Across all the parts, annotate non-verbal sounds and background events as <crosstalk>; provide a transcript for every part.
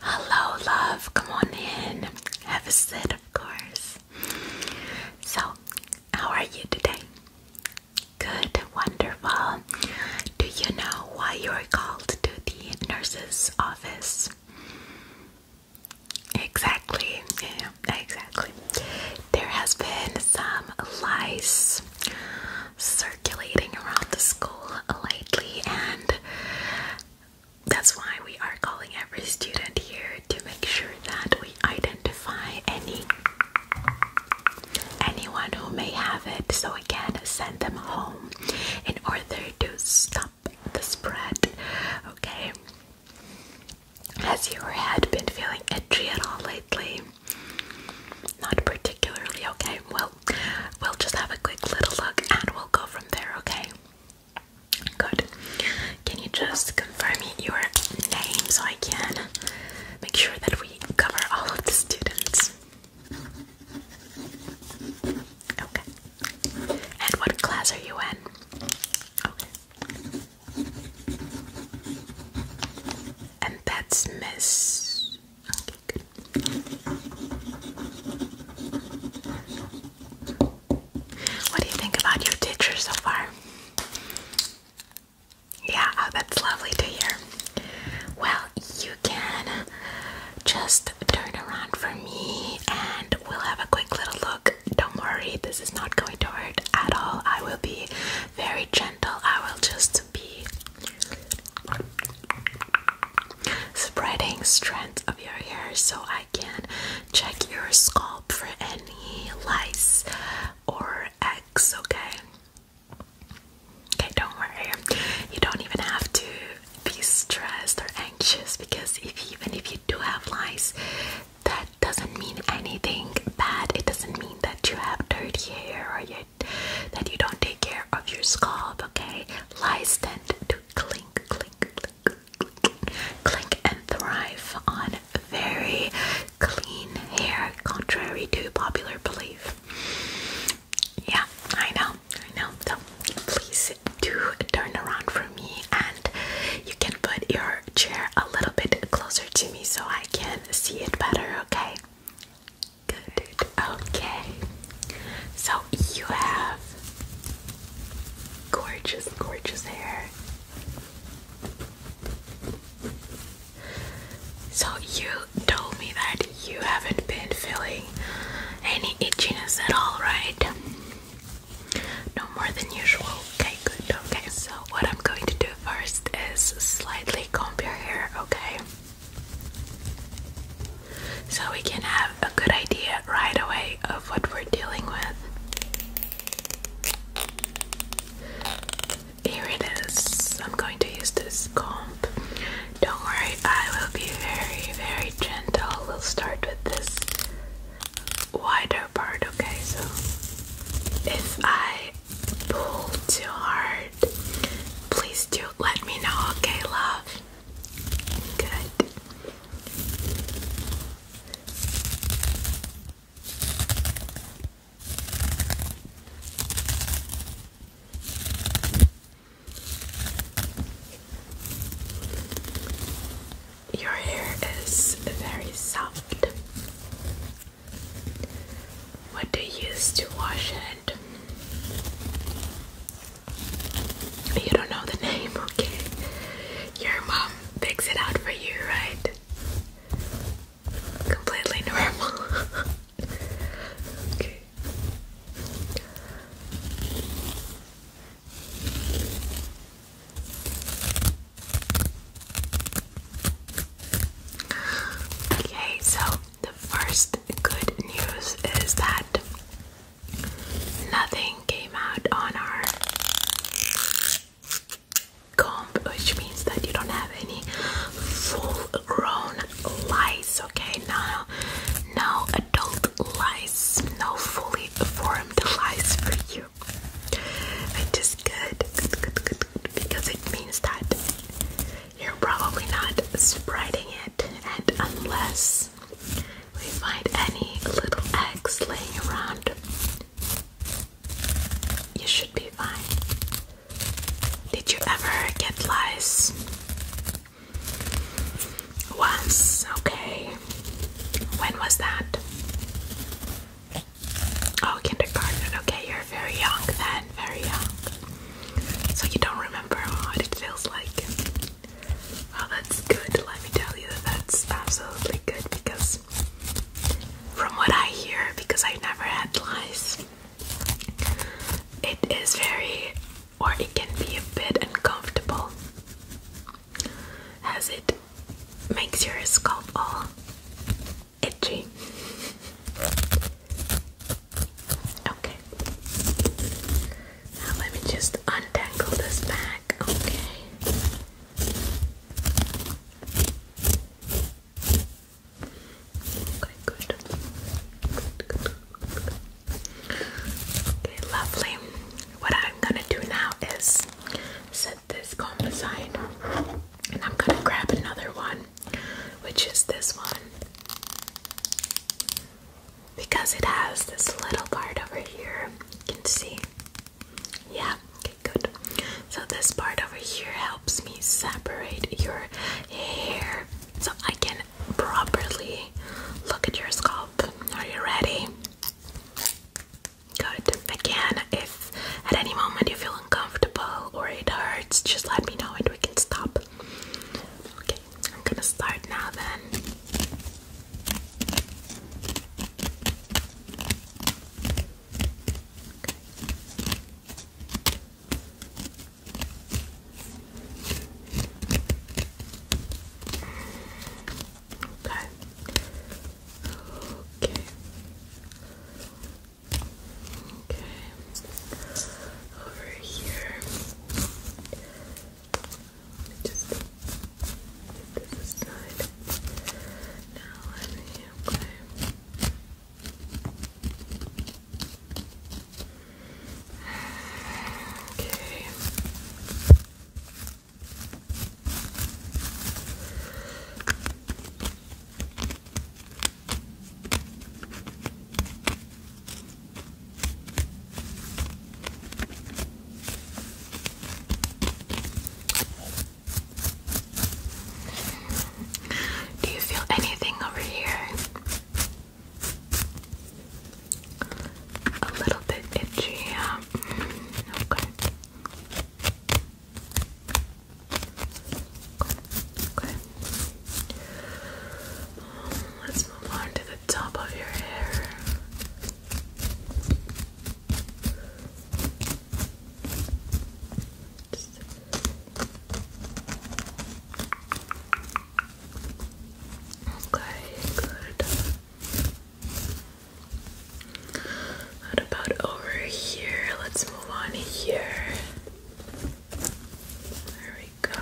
Hello, love. Come on in. Have a sit, of course. So, how are you today? Good, wonderful. Do you know why you are called to the nurse's office? Exactly, yeah, exactly. There has been some lice circulating around the school lightly, and that's why we are calling every student here to make sure that we identify any anyone who may have it so we can send them home in order to stop the spread. Okay. Has your head been feeling itchy at all lately? Not particularly okay. Well we'll just have a quick little look and we'll go from there, okay? Good. Can you just confirm your name so I can make sure that we cover all of the students? Okay. And what class are you in? And that's Miss. What do you think about your teacher so far? Yeah, oh, that's lovely to hear. Well, you can just turn around for me and we'll have a quick little look. Don't worry, this is not going to hurt at all. I will be very gentle. I will just be Spreading strength of your hair so I can check your scalp for any lice or eggs, okay? Okay, don't worry. You don't even have to be stressed or anxious because even if you do have lice, that doesn't mean anything bad. It doesn't mean that you have dirty hair or you that you don't take care of your scalp, okay? Lies tend to clink, clink, clink, clink, clink and thrive on very clean hair, contrary to popular belief. Yeah, I know, I know. So please do turn around for me and you can put your chair a little bit closer to me so I can see it better, okay? Good. Okay. So you have gorgeous, gorgeous hair. So you told me that you haven't been feeling any itchiness at all, right? No more than usual. Okay, good. Okay, so what I'm going to do first is slightly comb your hair, okay? so we can have a good idea right away of what we're dealing with. Here it is. I'm going to use this comb. Don't worry, I will be very, very gentle. We'll start with this wider part, okay? So if I pull too hard, please do let me know, okay, love? Good. Your hair is very soft. What do you use to wash it? You don't know the name, <laughs> okay? Your mom picks it out for you, right? Completely normal. <laughs> okay. Okay, so the first good news is that nothing came out on our comb, which means that you don't have any full grown lice, okay? No, no, no adult lice, no fully formed lice for you. Which is good. Good, good, good, because it means that you're probably not spreading it, and unless we find any little eggs laying around, you should be fine. Did you ever get lice? Once, okay. When was that? Oh, kindergarten. Okay, you're very young then, very young. So you don't remember what it feels like. Well, that's good. Let me tell you that that's absolutely good because, from what I hear, because I never had lice, it is very, or it can be a bit uncomfortable as it makes your scalp all itchy. Okay. Now let me just untangle this back, okay? Okay, good. Okay, lovely. What I'm gonna do now is this comb composite and I'm gonna grab another one, which is this one because it has this little part over here. You can see, yeah, okay, good. So, this part over here helps me separate your hair so I can properly look at your scalp. Are you ready? Good. Again, if at any moment you feel uncomfortable or it hurts, just let me know and we can stop. Okay, I'm gonna start now then. Okay. Okay. Okay. Over here. just this aside. Now let me Okay. Do you feel anything over here? A little bit itchy, yeah. Mm, okay. Okay. Let's move on to the top of your hair. Okay, good. What about over here? Let's move on here. There we go.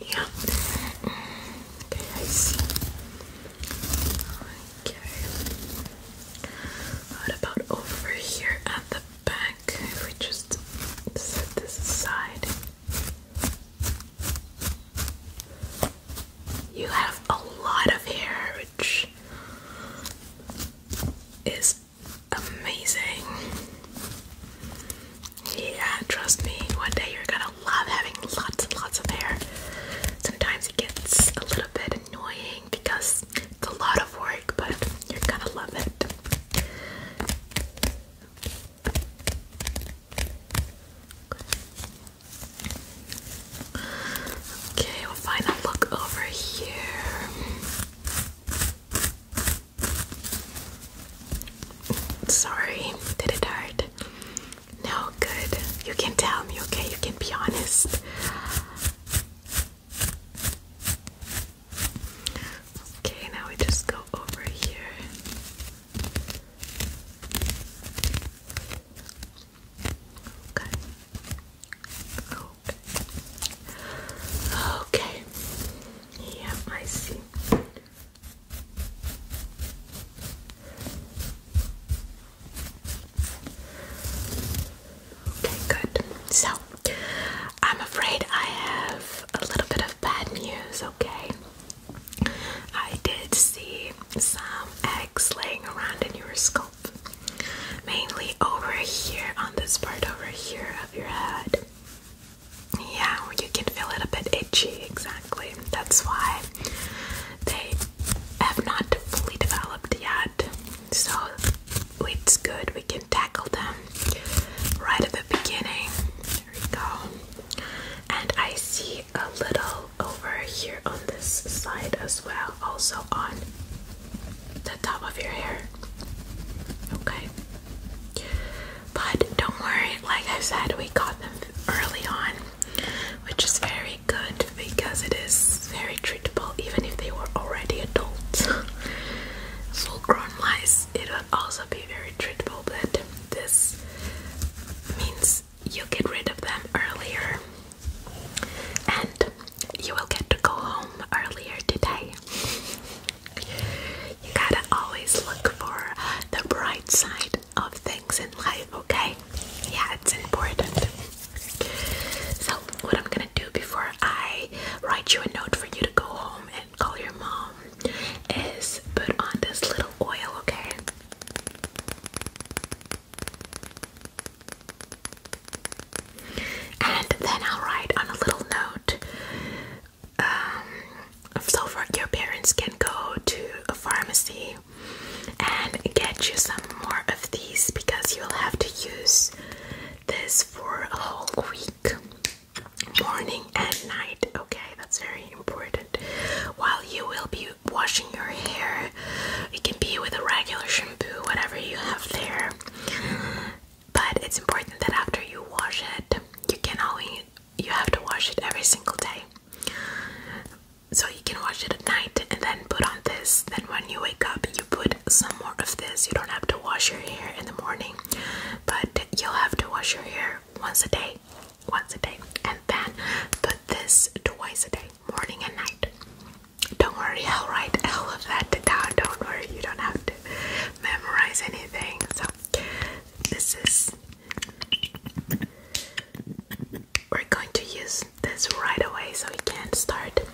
Yeah. Okay, Okay. What about over here at the back we just set this aside. You have a lot of hair, which is amazing. Yeah, trust me, one day you're gonna love having lots and lots of hair. Sometimes it gets a little bit annoying because it's a lot of work, but you're gonna love it. Okay, we look over here. Sorry, did it hurt? No, good. You can tell me, okay? You can be honest. Okay, now we just go over here. Okay. Okay. Okay. Yeah, I see. Okay, good. So, I'm afraid I have a little bit of bad news, okay? I did see some eggs laying around in your scalp, mainly over here on this part over here of your head. Yeah, you can feel it a bit itchy, exactly. That's why they have not fully developed yet. So it's good we can tackle them right at the beginning. There we go. And I see a little over here on this side as well, also on the top of your hair. Okay. But don't worry, like I said, we got them early on, which is very good because it is very treatable even if they were already adults. <laughs> Full grown mice, it would also be very treatable, but this means you get rid of them earlier and you will get to go home earlier today. You gotta always look for the bright side of things in life, okay? Yeah, it's important. So, what I'm gonna do before I write you a note for you to go home and call your mom is put on this little oil, okay? And then I'll write on a little note. Um, so, for your parents can go to a pharmacy and get you some more of these because you'll have to use this for a whole week, morning and night. Okay, that's very important. While you will be washing your hair, it can be with a regular shampoo, whatever you have there. But it's important that after you wash it, you can only you have to wash it every single day. So you can wash it at night and then put on this. Then when you wake up, you put some more of this. You don't have to wash your hair in the morning, but you'll have to wash your hair once a day, once a day, and then put this twice a day, morning and night. Don't worry, I'll write all of that down. Don't worry, you don't have to memorize anything. So, this is. We're going to use this right away so we can start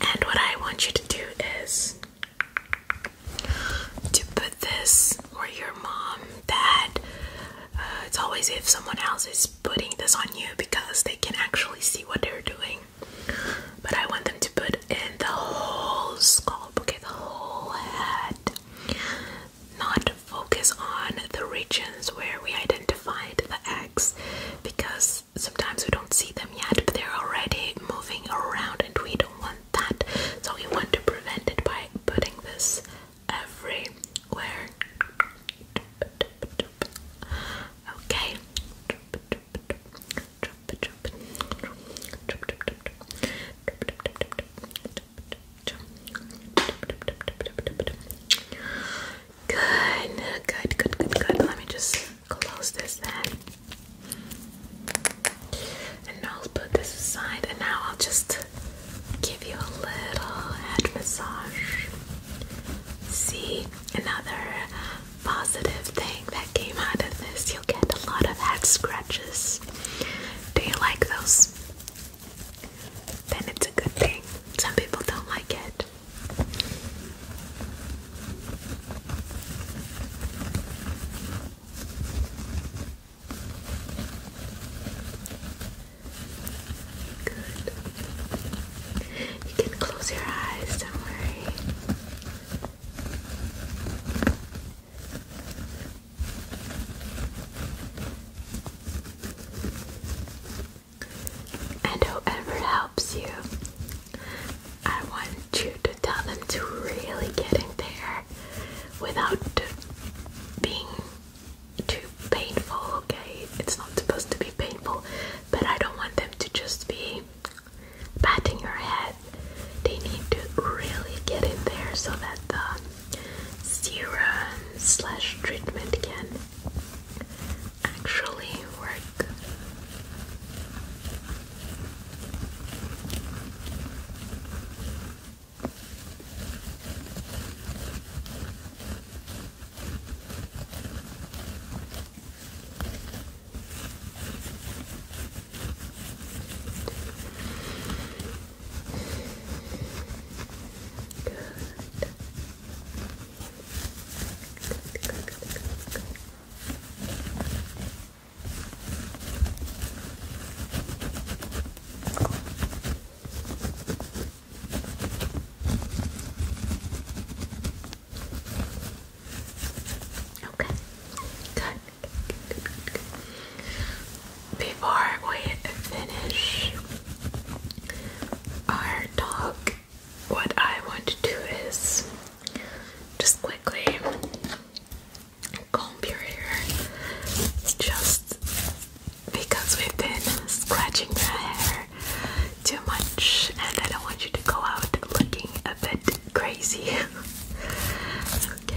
And what I want you to do is to put this or your mom, dad. Uh, it's always if someone else is putting this on you because they can actually see what they're doing. But I want them to put in the whole scalp, okay, the whole head. Not focus on the regions where we identified the X because sometimes we don't see them yet, but they're already moving around and we don't want that. So we want to prevent it by putting this everywhere. Okay. Good, good, good, good, good. Let me just close this then. And now I'll put this aside, and now I'll just give you a little head massage. See, another positive thing that came out of this. You'll get a lot of head scratches. Do you like those? Then it's a good thing. Some people don't like it. Good. You can close your eyes, don't worry and whoever helps you, I want you to tell them to really get in there without being too painful, okay? It's not supposed to be painful, but I don't want them to just be patting your head. They need to really get in there so that the serum slash treatment can actually work. Good. Okay, good. Before we finish, our dog, what I want to do is just quickly comb your hair just because we've been scratching the hair too much and I don't want you to go out looking a bit crazy. <laughs> okay.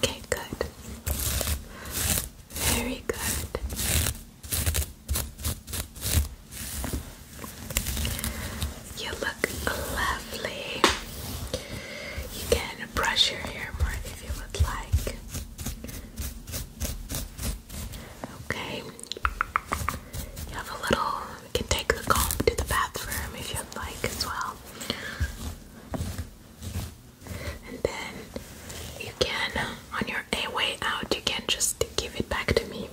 Okay, good. Very good. You look lovely. You can brush your hair more if you would like. Okay. You have a little. You can take the comb to the bathroom if you'd like as well. And then you can, on your way out, you can just give it back to me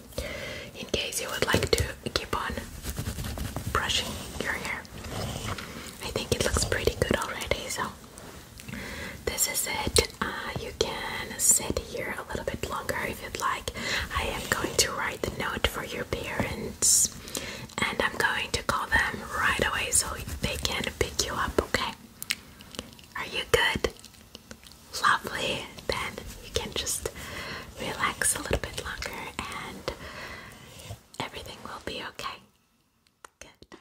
in case you would like to keep on brushing your hair. I think it looks pretty good already, so this is it. Uh, you can sit here a little bit longer if you'd like. I am going to write the note for your parents and I'm going to call them right away so they can pick you up, okay? Are you good? Lovely. Then you can just relax a little bit longer and everything will be okay. Good.